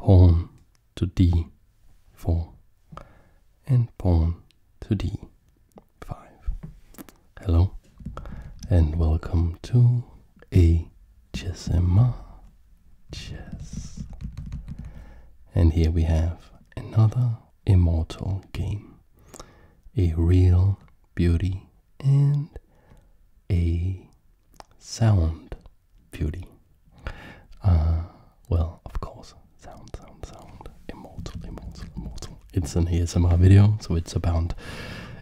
pawn to d4 and pawn to d5. Hello and welcome to a HSMR Chess. And here we have another immortal game. A real beauty and a sound beauty. Uh, well, of course, sound, sound, sound, immortal, immortal, immortal. It's an ASMR video, so it's about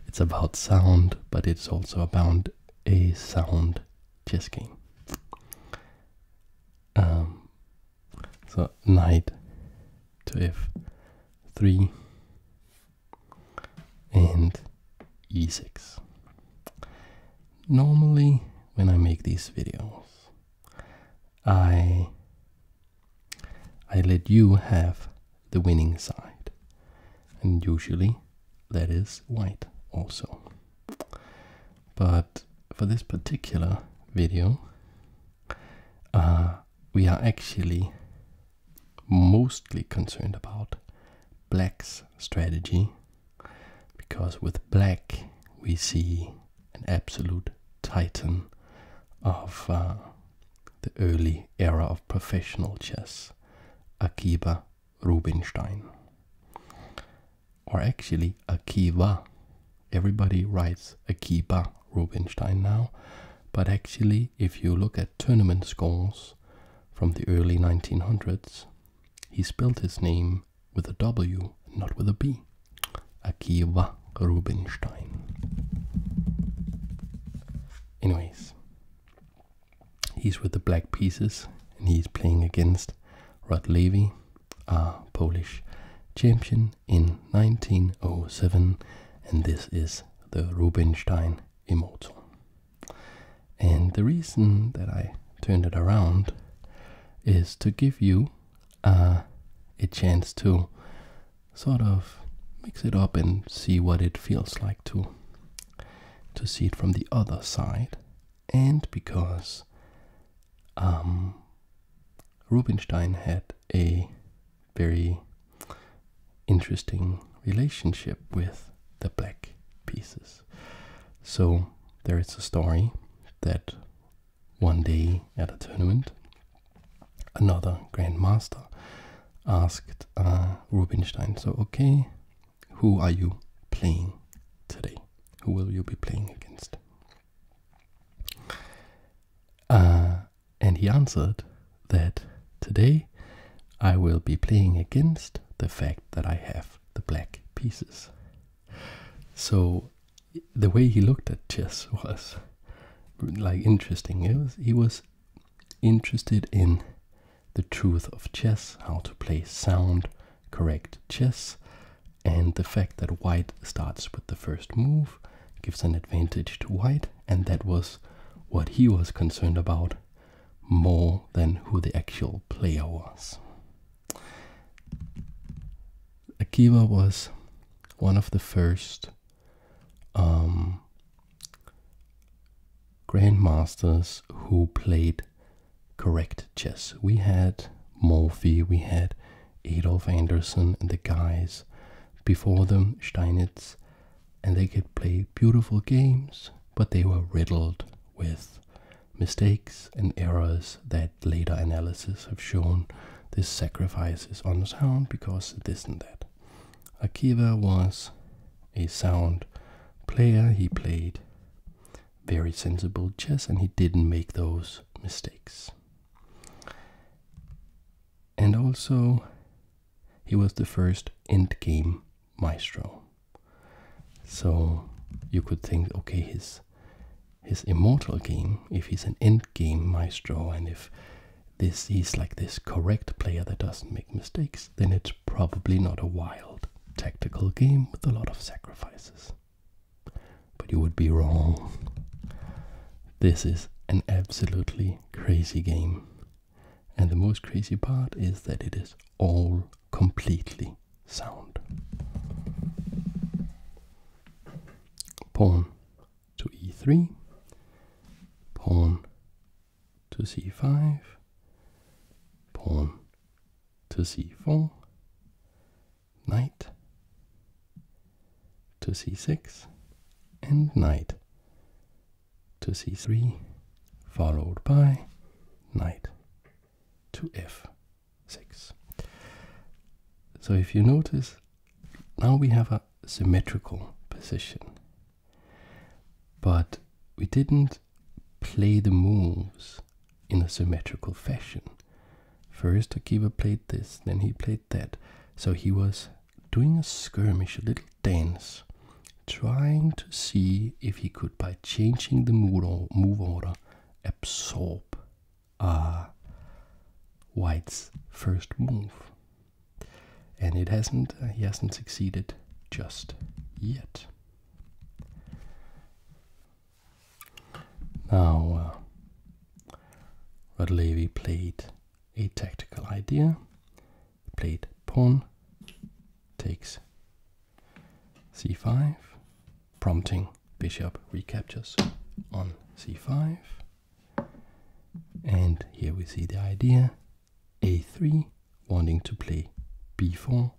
it's about sound, but it's also about a sound chess game. Um, so knight to f3 and e6. Normally, when I make these videos, I I let you have the winning side, and usually that is white also. But for this particular video, uh, we are actually mostly concerned about black's strategy because with black we see an absolute titan of uh, the early era of professional chess, Akiba Rubinstein. Or actually, Akiva. Everybody writes Akiba Rubinstein now, but actually, if you look at tournament scores from the early 1900s, he spelled his name with a W, not with a B. Akiva Rubinstein. Anyways, he's with the Black Pieces and he's playing against Rod Levy, a Polish champion in 1907, and this is the Rubinstein Immortal. And the reason that I turned it around is to give you uh, a chance to sort of mix it up and see what it feels like to to see it from the other side. And because um, Rubinstein had a very interesting relationship with the black pieces. So there is a story that one day at a tournament, another grandmaster asked uh, Rubinstein, So, okay, who are you playing today? Who will you be playing against? Uh, and he answered that today I will be playing against the fact that I have the black pieces. So the way he looked at chess was like interesting. It was, he was interested in the truth of chess, how to play sound, correct chess, and the fact that white starts with the first move gives an advantage to white, and that was what he was concerned about more than who the actual player was. Akiba was one of the first um, grandmasters who played correct chess. We had Morphy, we had Adolf Anderssen and the guys before them, Steinitz, and they could play beautiful games, but they were riddled with mistakes and errors that later analysis have shown this sacrifice is unsound because this and that. Akiva was a sound player, he played very sensible chess and he didn't make those mistakes. And also, he was the first endgame maestro. So you could think, okay, his his immortal game, if he's an end game maestro, and if this is like this correct player that doesn't make mistakes, then it's probably not a wild tactical game with a lot of sacrifices. But you would be wrong. This is an absolutely crazy game. And the most crazy part is that it is all completely sound. Pawn to e3, pawn to c5, pawn to c4, knight to c6, and knight to c3, followed by knight to f6. So if you notice, now we have a symmetrical position, but we didn't play the moves in a symmetrical fashion. First Akiva played this, then he played that. So he was doing a skirmish, a little dance trying to see if he could, by changing the move order, absorb uh, White's first move. And it hasn't, uh, he hasn't succeeded just yet. Now, uh, Radlevi played a tactical idea. He played pawn, takes c5, prompting bishop recaptures on c5. And here we see the idea a3, wanting to play b4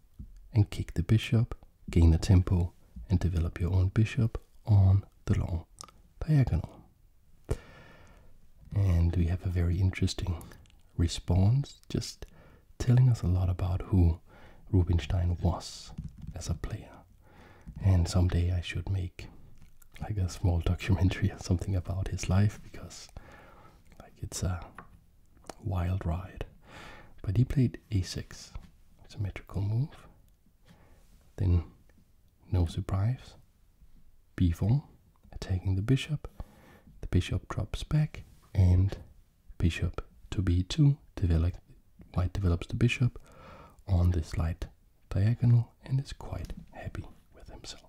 and kick the bishop, gain a tempo, and develop your own bishop on the long diagonal. And we have a very interesting response, just telling us a lot about who Rubinstein was as a player. And someday I should make like a small documentary or something about his life because like it's a wild ride. But he played a6, symmetrical move. Then no surprise, b4, taking the bishop. The bishop drops back and bishop to b2, develop, white develops the bishop on the slight diagonal and is quite happy with himself.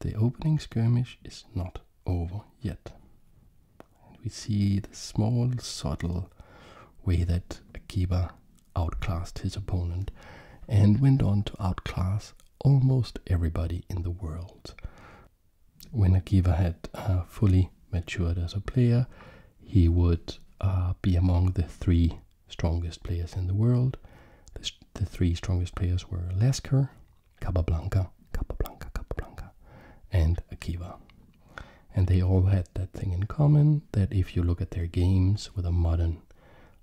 The opening skirmish is not over yet. And we see the small, subtle way that Akiba outclassed his opponent and went on to outclass almost everybody in the world when Akiva had uh, fully matured as a player, he would uh, be among the three strongest players in the world. The, three strongest players were Lasker, Capablanca, Capablanca, Capablanca, and Akiva. And they all had that thing in common that if you look at their games with a modern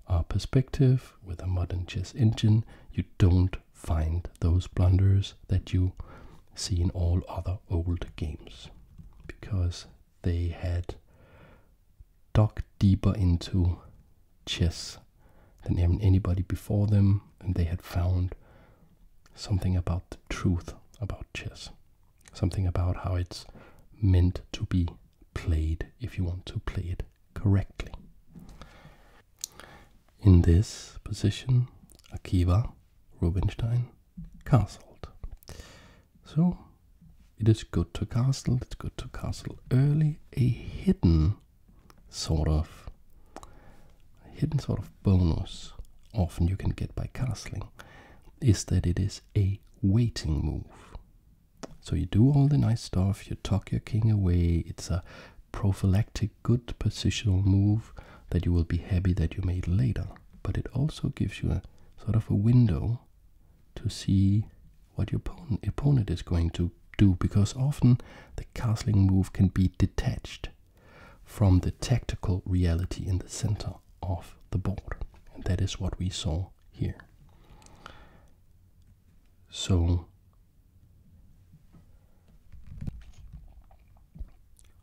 uh, perspective, with a modern chess engine, you don't find those blunders that you see in all other old games because they had dug deeper into chess than anybody before them and they had found something about the truth about chess something about how it's meant to be played if you want to play it correctly in this position, Akiva Rubinstein castled. So it is good to castle, it's good to castle early. A hidden sort of a hidden sort of bonus often you can get by castling is that it is a waiting move. So you do all the nice stuff, you tuck your king away, it's a prophylactic good positional move that you will be happy that you made later. But it also gives you a sort of a window to see what your opponent is going to do because often the castling move can be detached from the tactical reality in the center of the board. And that is what we saw here. So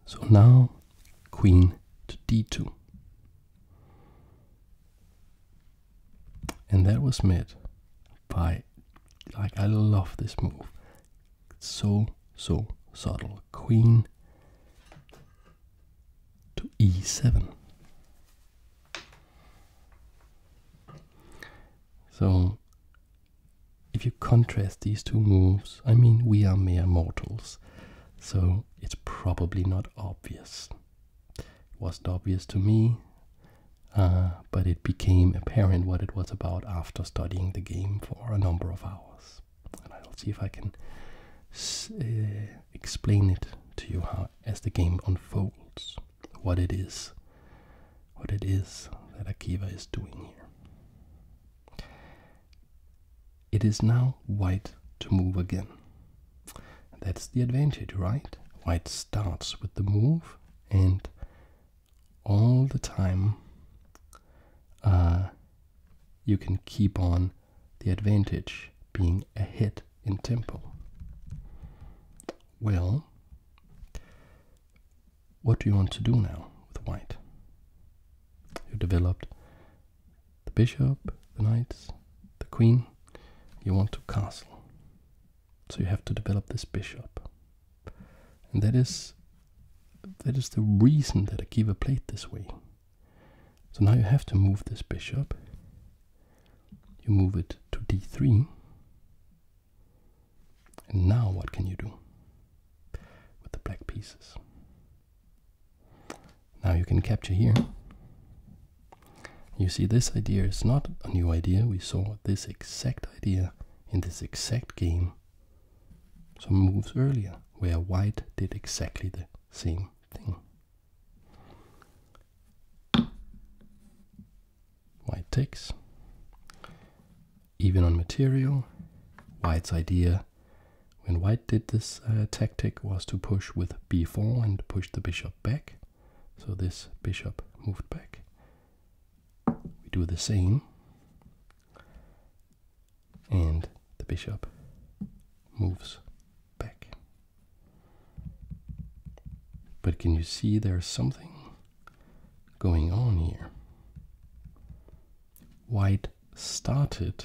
so now queen to d2. And that was met by, like, I love this move. so, so subtle. Queen to e7. So if you contrast these two moves, I mean, we are mere mortals, so it's probably not obvious. It wasn't obvious to me, uh, but it became apparent what it was about after studying the game for a number of hours. And I'll see if I can uh, explain it to you as the game unfolds what it is, what it is that Akiva is doing here. It is now white to move again. That's the advantage, right? White starts with the move and all the time uh, you can keep on the advantage being ahead in tempo. Well, what do you want to do now with white? You developed the bishop, the knights, the queen. You want to castle. So you have to develop this bishop. And that is that is the reason that Akiva played this way. So now you have to move this bishop. You move it to d3. And now what can you do with the black pieces? Now you can capture here. You see, this idea is not a new idea. We saw this exact idea in this exact game some moves earlier, where white did exactly the same thing white takes. Even on material, white's idea when white did this uh, tactic was to push with b4 and push the bishop back. So this bishop moved back. We do the same. And the bishop moves back. But can you see there's something going on here. White started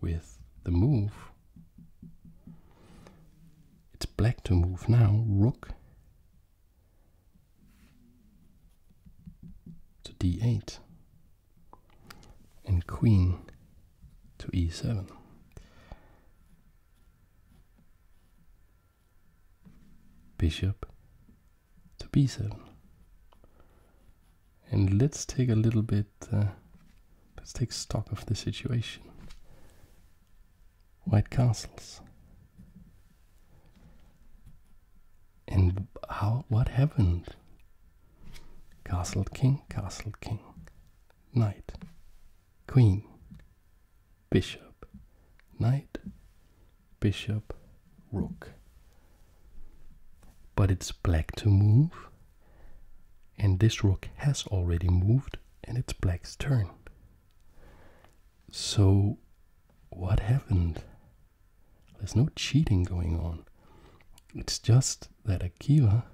with the move. It's black to move now, rook to d8 and queen to e7 bishop to b7. And let's take a little bit, uh, let's take stock of the situation. White castles. And how, what happened? Castle king, castle king, knight, queen, bishop, knight, bishop, rook. But it's black to move, and this rook has already moved, and it's black's turn. So, what happened? There's no cheating going on. It's just that Akiva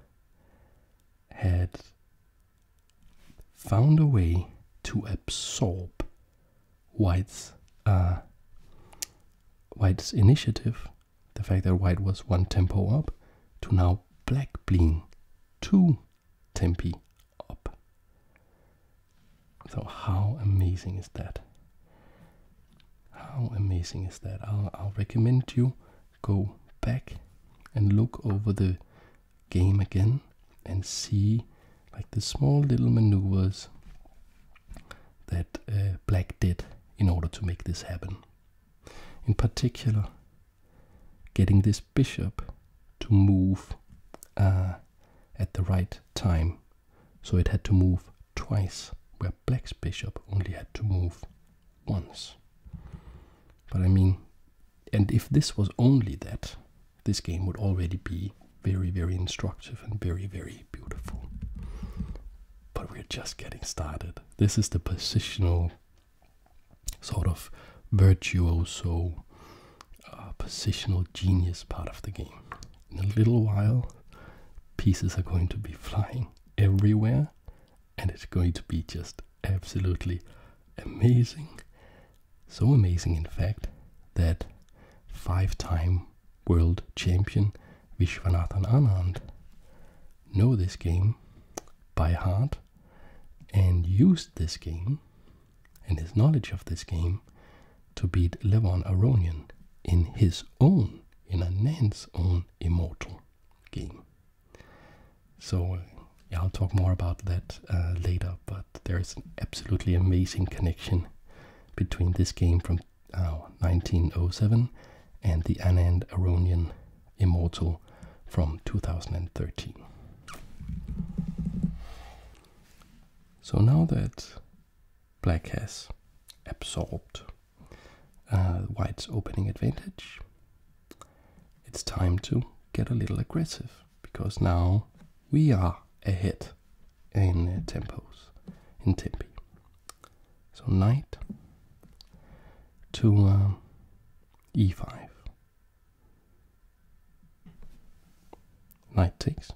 had found a way to absorb uh, White's initiative, the fact that White was one tempo up, to now Black being two tempi up. So how amazing is that? How amazing is that? I'll recommend you go back and look over the game again and see like the small little maneuvers that uh, black did in order to make this happen. In particular, getting this bishop to move uh, at the right time. So it had to move twice, where black's bishop only had to move once. But I mean, and if this was only that, this game would already be very, very instructive and very, very beautiful. But we're just getting started. This is the positional sort of virtuoso, uh, positional genius part of the game. In a little while, pieces are going to be flying everywhere, and it's going to be just absolutely amazing. So amazing, in fact, that five time world champion Vishwanathan Anand knew this game by heart and used this game and his knowledge of this game to beat Levon Aronian in his own, in Anand's own immortal game. So I'll talk more about that uh, later, but there is an absolutely amazing connection between this game from 1907 uh, and the Anand Aronian Immortal from 2013. So now that black has absorbed uh, white's opening advantage, it's time to get a little aggressive because now we are ahead in uh, tempos in tempi. So knight to um, e5. Knight takes.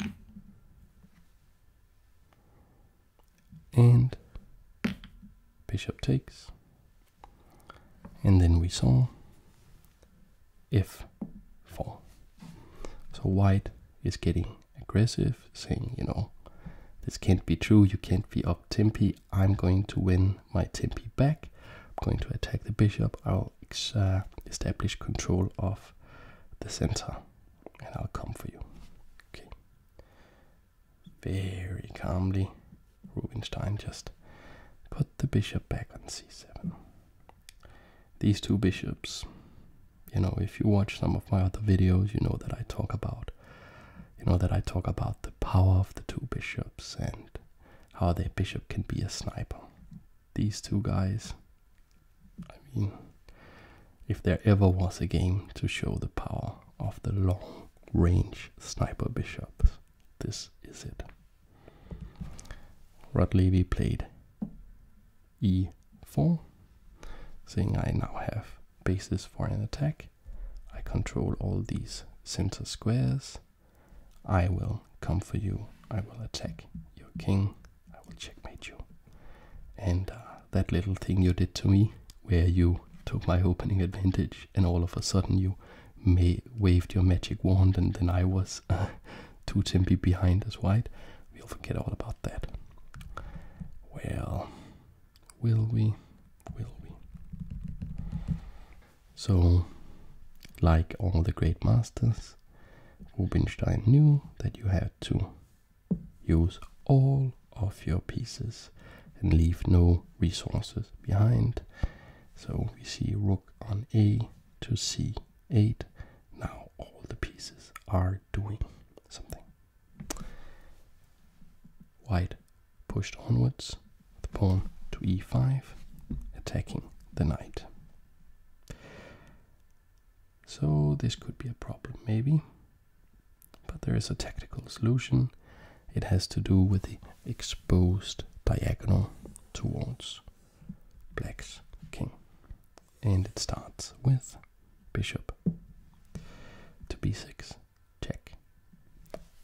And bishop takes. And then we saw if four. So white is getting aggressive, saying, you know, this can't be true, you can't be up tempi, I'm going to win my tempi back, I'm going to attack the bishop, I'll uh, establish control of the center, and I'll come for you. Okay. Very calmly, Rubinstein just put the bishop back on c7 these two bishops. You know, if you watch some of my other videos, you know that I talk about you know that I talk about the power of the two bishops and how their bishop can be a sniper. These two guys, I mean, if there ever was a game to show the power of the long range sniper bishops, this is it. Rudlevi played e4, saying I now have bases for an attack. I control all these center squares. I will come for you. I will attack your king. I will checkmate you. And uh, that little thing you did to me, where you took my opening advantage and all of a sudden you waved your magic wand and then I was Two Tempi behind as white. We'll forget all about that. Well, will we? Will we? So, like all the great masters, Rubinstein knew that you have to use all of your pieces and leave no resources behind. So we see rook on a to c eight. Now all the pieces are doing something. White pushed onwards, the pawn to e5, attacking the knight. So this could be a problem, maybe. But there is a tactical solution. It has to do with the exposed diagonal towards black's king. And it starts with bishop to b6, check,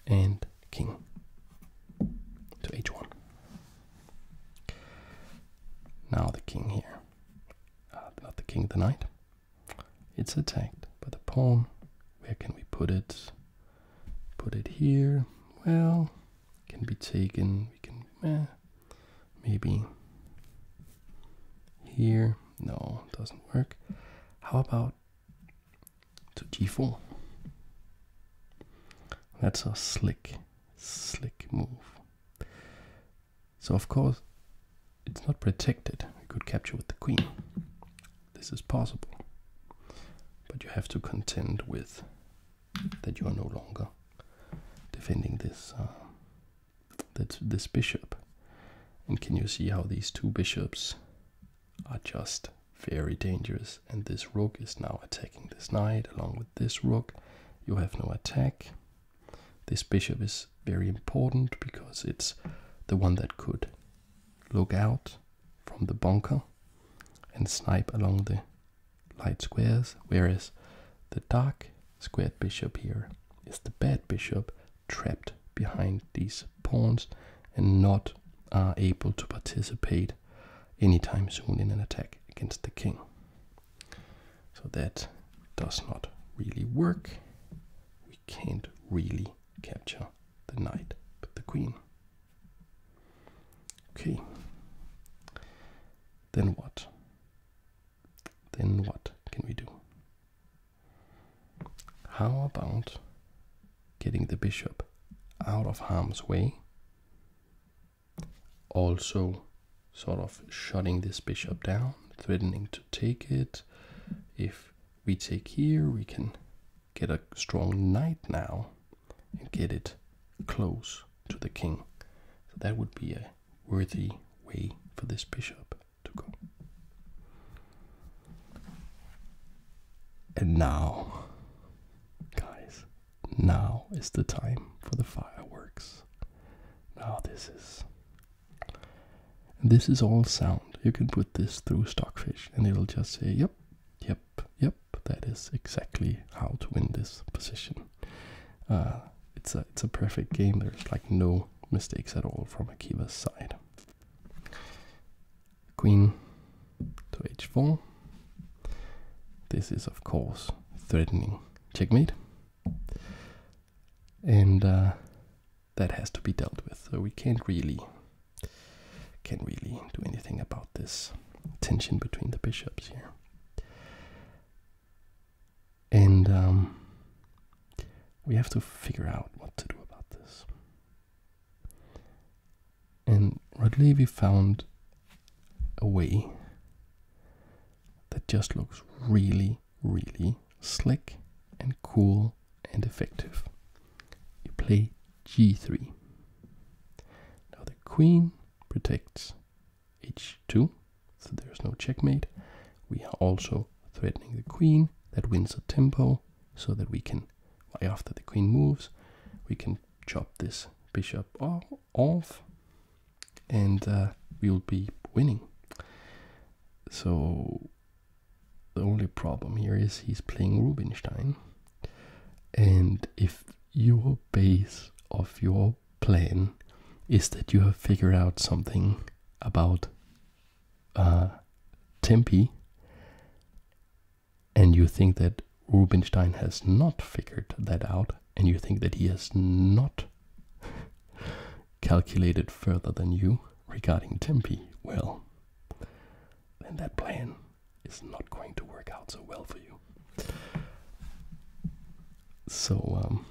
and king to h1. Now the king here, uh, not the king, of the knight. It's attacked by the pawn. Where can we put it? Put it here. Well, can be taken. We can eh, maybe here. No, doesn't work. How about to g4? That's a slick, slick move. So of course, it's not protected. We could capture with the queen. This is possible. But you have to contend with that you are no longer defending this uh, this bishop. And can you see how these two bishops are just very dangerous? And this rook is now attacking this knight along with this rook. You have no attack. This bishop is very important because it's the one that could look out from the bunker and snipe along the light squares, whereas the dark squared bishop here is the bad bishop trapped behind these pawns and not are uh, able to participate anytime soon in an attack against the king. So that does not really work. We can't really capture the knight but the queen. Okay. Then what? Then what can we do? How about getting the bishop out of harm's way? Also, sort of shutting this bishop down, threatening to take it. If we take here, we can get a strong knight now and get it close to the king. So that would be a worthy way for this bishop to go. And now, guys, now is the time for the fireworks. Now this is. This is all sound. You can put this through Stockfish and it'll just say, yep, yep, yep, that is exactly how to win this position. Uh, it's a it's a perfect game. There's like no mistakes at all from Akiba's side. Queen to h4. This is of course threatening checkmate, and uh, that has to be dealt with. So we can't really can really do anything about this tension between the bishops here. And um, we have to figure out what to do about this. And Rodlevi found a way that just looks really, really slick and cool and effective. You play g3. Now the queen protects h2, so there's no checkmate. We are also threatening the queen, that wins a tempo, so that we can, after the queen moves, we can chop this bishop off, and uh, we'll be winning. So the only problem here is he's playing Rubinstein, and if your base of your plan is that you have figured out something about uh, Tempe and you think that Rubinstein has not figured that out and you think that he has not calculated further than you regarding Tempe, well, then that plan is not going to work out so well for you. So, um,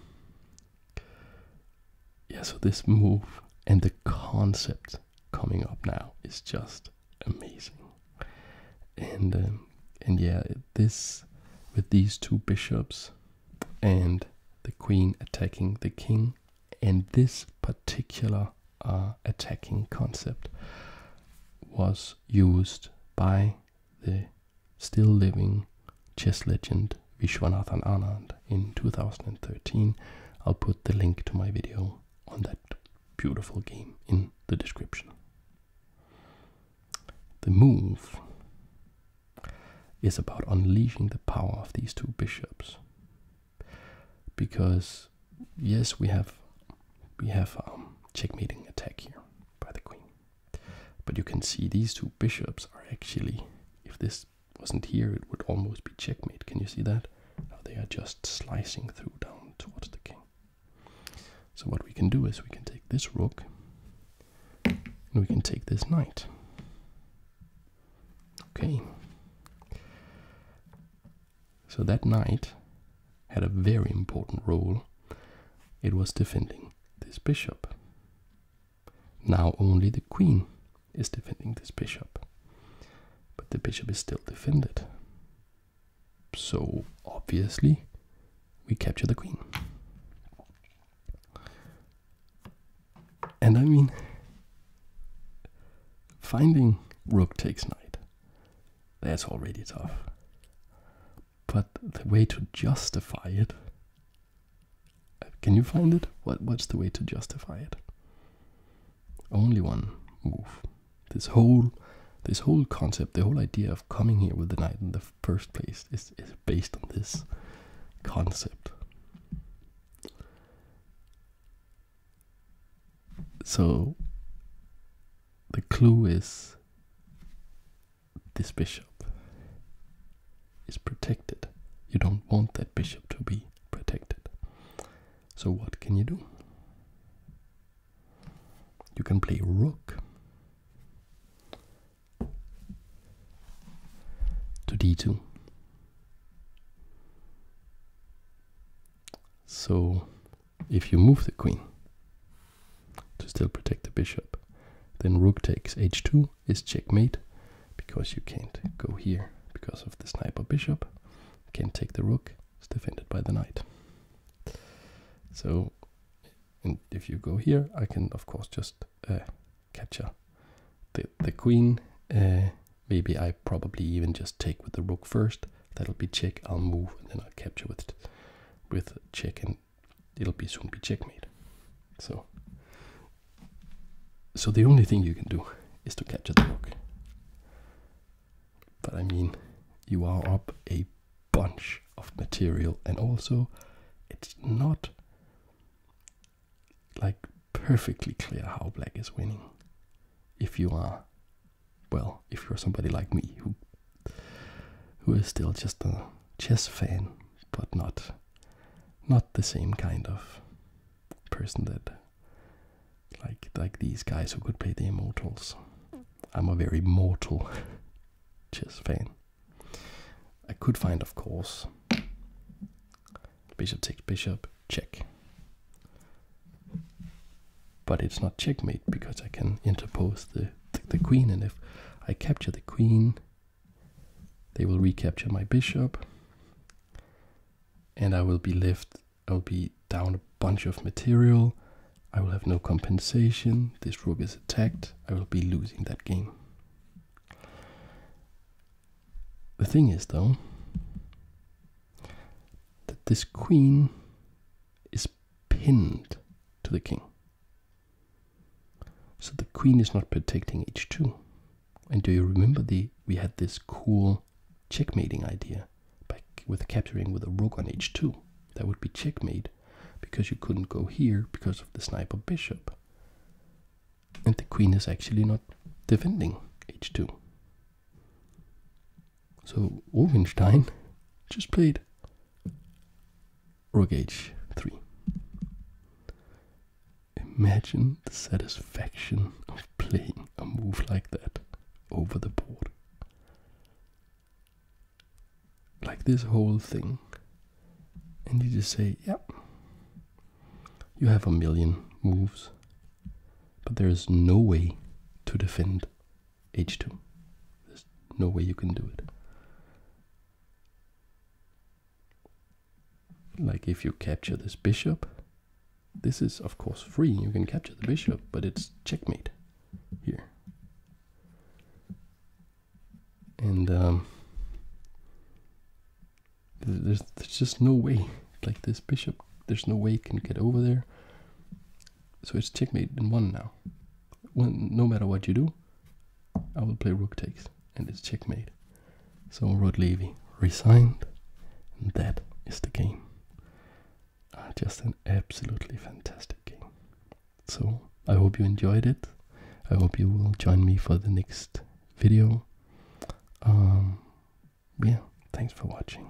yeah, so this move and the concept coming up now is just amazing. And, um, and yeah, this with these two bishops and the queen attacking the king, and this particular uh, attacking concept was used by the still living chess legend Vishwanathan Anand in 2013. I'll put the link to my video on that beautiful game in the description. The move is about unleashing the power of these two bishops. Because yes, we have we have a um, checkmating attack here, by the queen. But you can see these two bishops are actually, if this wasn't here, it would almost be checkmate. Can you see that? they are just slicing through down towards the king. So what we can do is we can take this rook and we can take this knight. Okay. So that knight had a very important role. It was defending this bishop. Now only the queen is defending this bishop. But the bishop is still defended. So obviously we capture the queen. And I mean, finding rook takes knight, that's already tough. But the way to justify it. Can you find it? What what's the way to justify it? Only one move. This whole this whole concept, the whole idea of coming here with the knight in the first place is, is based on this concept. So the clue is this bishop is protected. You don't want that bishop to be protected. So, what can you do? You can play rook to d2. So, if you move the queen to still protect the bishop. Then rook takes h2 is checkmate because you can't go here because of the sniper bishop. Can't take the rook, it's defended by the knight. So, and if you go here, I can of course just uh, capture the, the queen. Uh, maybe I probably even just take with the rook first. That'll be check, I'll move, and then I'll capture with, with check and it'll be soon be checkmate. So, so the only thing you can do is to capture the rook. But I mean, you are up a bunch of material, and also it's not like perfectly clear how black is winning if you are well, if you're somebody like me who who is still just a chess fan, but not not the same kind of person that like like these guys who could play the immortals. I'm a very mortal chess fan. I could find, of course, bishop takes bishop, check but it's not checkmate because I can interpose the, the queen, and if I capture the queen, they will recapture my bishop, and I will be left, I'll be down a bunch of material, I will have no compensation, this rook is attacked, I will be losing that game. The thing is, though, that this queen is pinned to the king. So the queen is not protecting h2. And do you remember the we had this cool checkmating idea with capturing with a rook on h2? That would be checkmate because you couldn't go here because of the sniper bishop. And the queen is actually not defending h2. So Wolfenstein just played Rook h3. Imagine the satisfaction of playing a move like that over the board. Like this whole thing. And you just say, yeah, you have a million moves, but there is no way to defend h2. There's no way you can do it. Like if you capture this bishop, this is of course free, you can capture the bishop, but it's checkmate here. And um, there's, there's just no way, like this bishop, there's no way it can get over there. So it's checkmate in one now. no matter what you do, I will play rook takes, and it's checkmate. So Rod Levy resigned, and that is the game. Ah, just an absolutely fantastic game. So I hope you enjoyed it. I hope you will join me for the next video. Um, yeah, thanks for watching.